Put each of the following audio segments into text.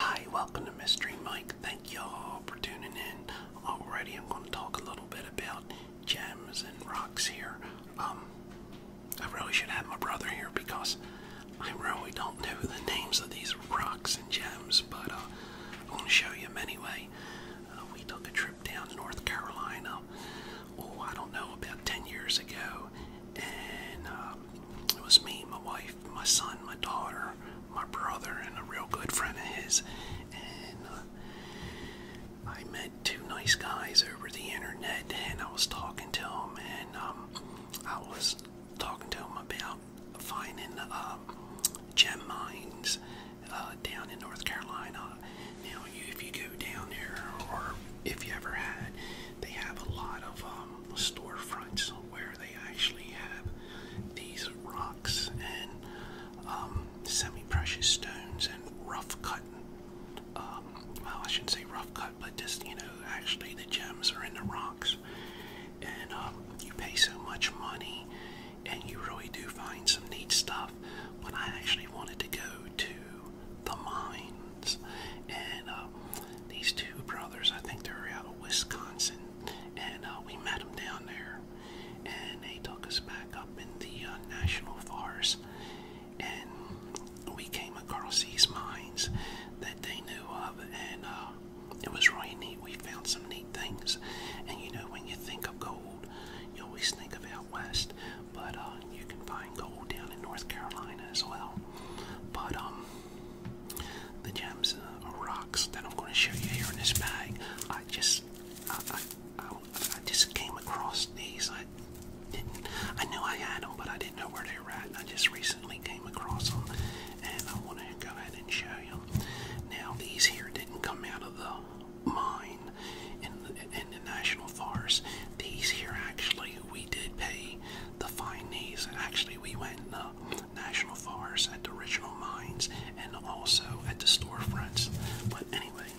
Hi, welcome to Mystery Mike. Thank y'all for tuning in. Already, I'm going to talk a little bit about gems and rocks here. Um, I really should have my brother here because I really don't know the names of these rocks and gems, but uh, I'm going to show you them anyway. Uh, we took a trip down to North Carolina, oh, I don't know, about 10 years ago, and um, it was me, my wife, my son, my daughter, my brother, and a real good friend of his. And uh, I met two nice guys over the internet, and I was talking to them, and um, I was talking to them about finding um, gem mines uh, down in North Carolina. Now, you, if you go down there, or if you ever had, they have a lot of um, storefronts where where they actually have these rocks and um, semi-precious stones and rough cut. Um, well, I shouldn't say rough cut, but just you know, actually the gems are in the rocks, and um, you pay so much money, and you really do find some neat stuff. But I actually wanted to go to the mines, and uh, these two brothers, I think they're out of Wisconsin, and uh, we met them down there, and they took us back up in the uh, national forest, and we came across these mines that they knew of, and uh, it was really neat. We found some neat things, and you know, when you think of gold, you always think of out west, but uh, you can find gold down in North Carolina as well. But um, the gems or uh, rocks that I'm going to show you here in this bag. I just, I, I, just came across these. I didn't, I knew I had them, but I didn't know where they were at. And I just recently came across them, and I want to go ahead and show you. Now these here didn't come out of the mine in the, in the national forest. These here actually we did pay the fine. these. Actually, we went. Uh, national forests, at the original mines, and also at the storefronts. But anyway,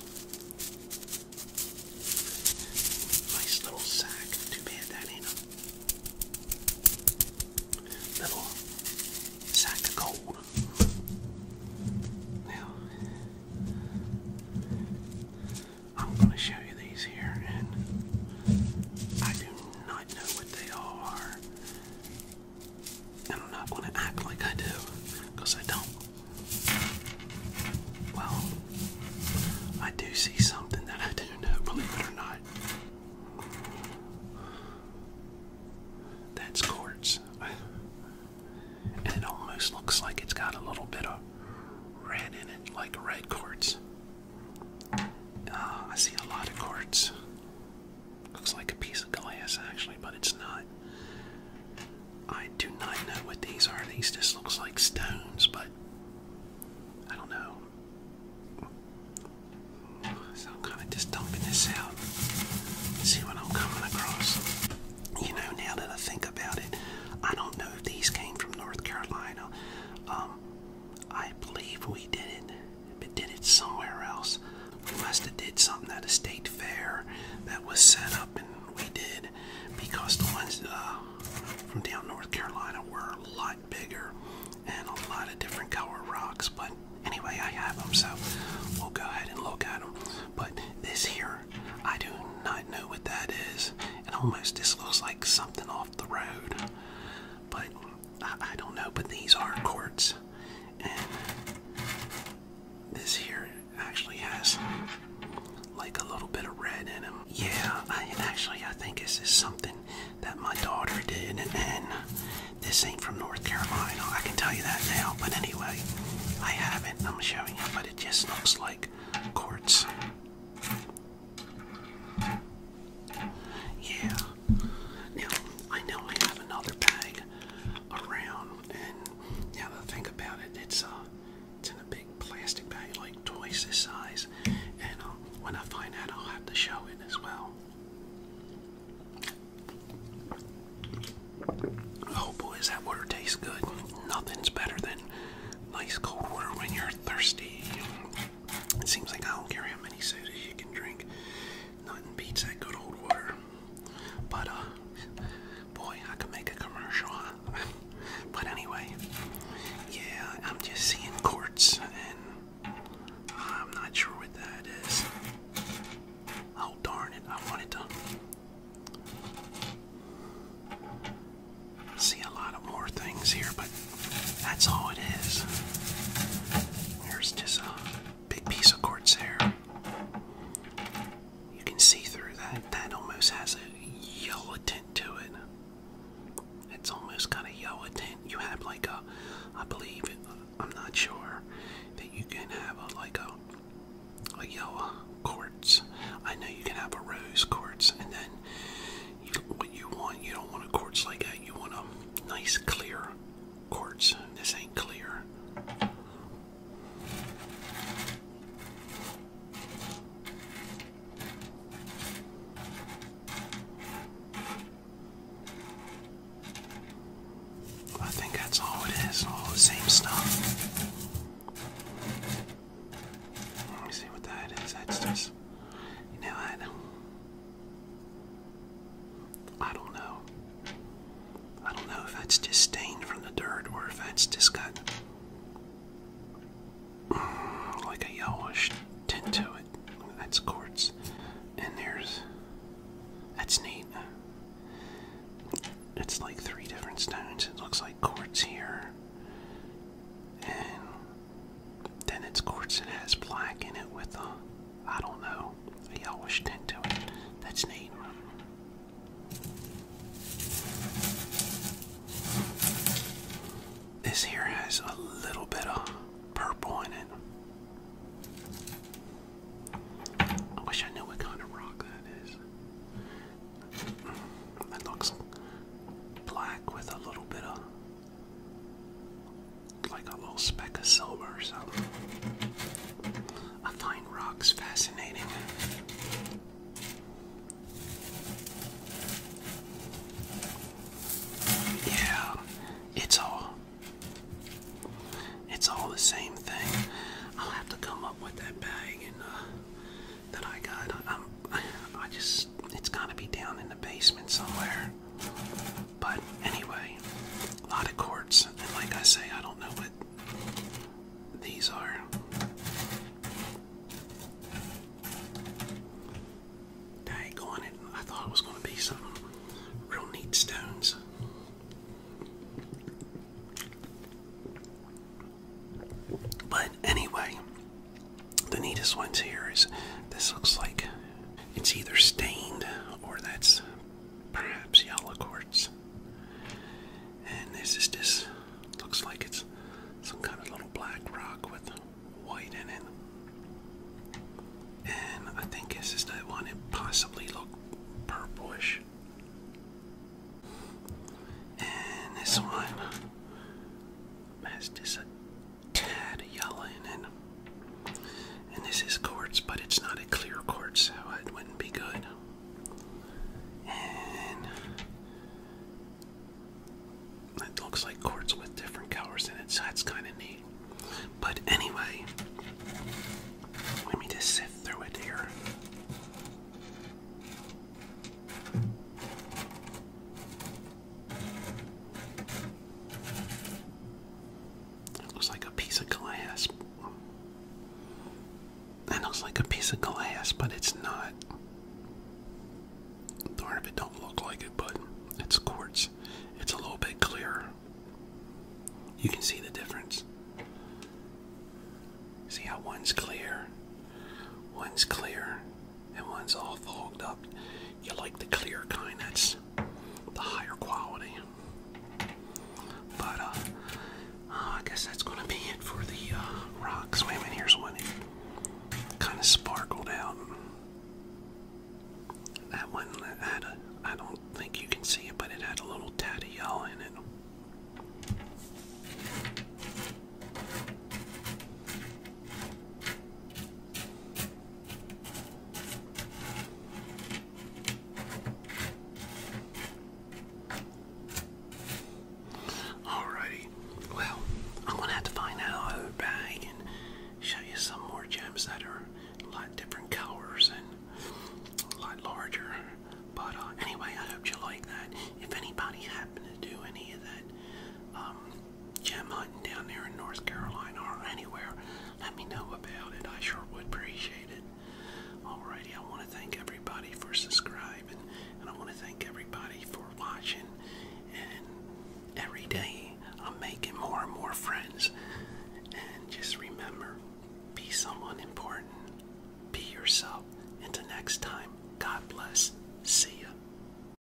nice little sack. Too bad that ain't a little sack of gold. Now, I'm going to show you these here, and I do not know what they are. And I'm not going to act like I do, because I don't. Well, I do see something that I do know, believe it or not. That's quartz. And it almost looks like it's got a little bit of red in it, like red quartz. Ah, I see a lot of quartz. Looks like a piece of glass actually, but it's not. I do not know what these are. These just looks like stones, but I don't know. So I'm kind of just dumping this out. See what I'm coming across. You know, now that I think about it, I don't know if these came from North Carolina. Um, I believe we did it, but did it somewhere else. We must have did something at a state fair that was set up, and we did because the ones uh, from down North Carolina were a lot bigger and a lot of different color rocks. But anyway, I have them, so we'll go ahead and look at them. But this here, I do not know what that is. It almost just looks like something off the road, but I, don't know, but these are quartz, and this here actually has like a little bit of red in them. Yeah, I actually I think this is something that my daughter did, and this ain't from North Carolina. I can tell you that now, but anyway, I have it. I'm showing you, but it just looks like quartz. Yeah. Now, I know I have another bag around, and now that I think about it, it's, uh, it's in a big plastic bag, like twice this size. And uh, when I find out, I'll have to show it as well. Oh boy, is that water tastes good. Nothing's better than nice cold water when you're thirsty. It seems like I don't care how many sodas you can drink. Nothing beats that good old water. But, uh, boy, I could make a commercial, but anyway, yeah, I'm just seeing quartz, and I'm not sure what that is. Oh, darn it, I wanted to see a lot of more things here, but that's all it is. There's just a big piece of quartz there. You can see through that. That almost has a yellow tint to it. It's almost kind of yellow tint. You have like a, I believe, I'm not sure, that you can have a like a a yellow quartz. I know you can have a rose quartz, and then you, what you want. You don't want a quartz like that. You want a nice clear quartz. This ain't clear. I think that's all it is, all the same stuff. Let me see what that is. That's just, you know, I I don't know. I don't know if that's just stained from the dirt or if that's just got mm, like a yellowish tint to it. That's quartz. And there's. That's neat. It's like three different stones. It looks like quartz here. And then it's quartz and has black in it with a, uh, I don't know, a yellowish tint to it. That's neat. This here has a little bit of purple in it. I wish I knew what kind of rock that is. It looks black with a little bit of like a little speck of silver or I find rocks fascinating. Yeah, it's all it's all the same thing. I'll have to come up with that bag and uh, that I got. I'm, I just it's gotta be down in the basement somewhere. But anyway, lot of quartz, and like I say, I don't know what these are. Dag on it, I thought it was going to be some real neat stones. But anyway, the neatest ones here is this looks like it's either stained or that's perhaps yellow quartz. And this is this looks like it's some kind of little black rock with white in it. And I think this is that one. It possibly looked purplish. And this one has this tad yellow and and this is quartz, but it's not a clear quartz, so it wouldn't be good. And it looks like quartz with different colors in it, so that's kind of neat. But anyway, let me just sift through it here. It looks like a piece of glass. It looks like a piece of glass, but it's not. Part of it don't look like it, but it's quartz. It's a little bit clearer. You can see the difference. See how one's clear, one's clear, and one's all fogged up. You like the clear kind, that's the higher quality. But, uh, uh I guess that's going to be it for the uh, rocks. Wait a minute, here's one. kind of sparkled out. That one had a, I don't think you can see it, but it had a little tad of yellow in it. Alrighty, well, I'm gonna have to find out another bag and show you some more gems that are a different colors and a larger. But uh, anyway, I hope you like that. If anybody happened to do any of that, um, gem hunting down there in North Carolina or anywhere, let me know about it. I sure would appreciate it. Alrighty, I want to thank everybody for subscribing, and I want to thank everybody for watching. And every day I'm making more and more friends. And just remember, be someone important, be yourself. Until next time, God bless. See ya.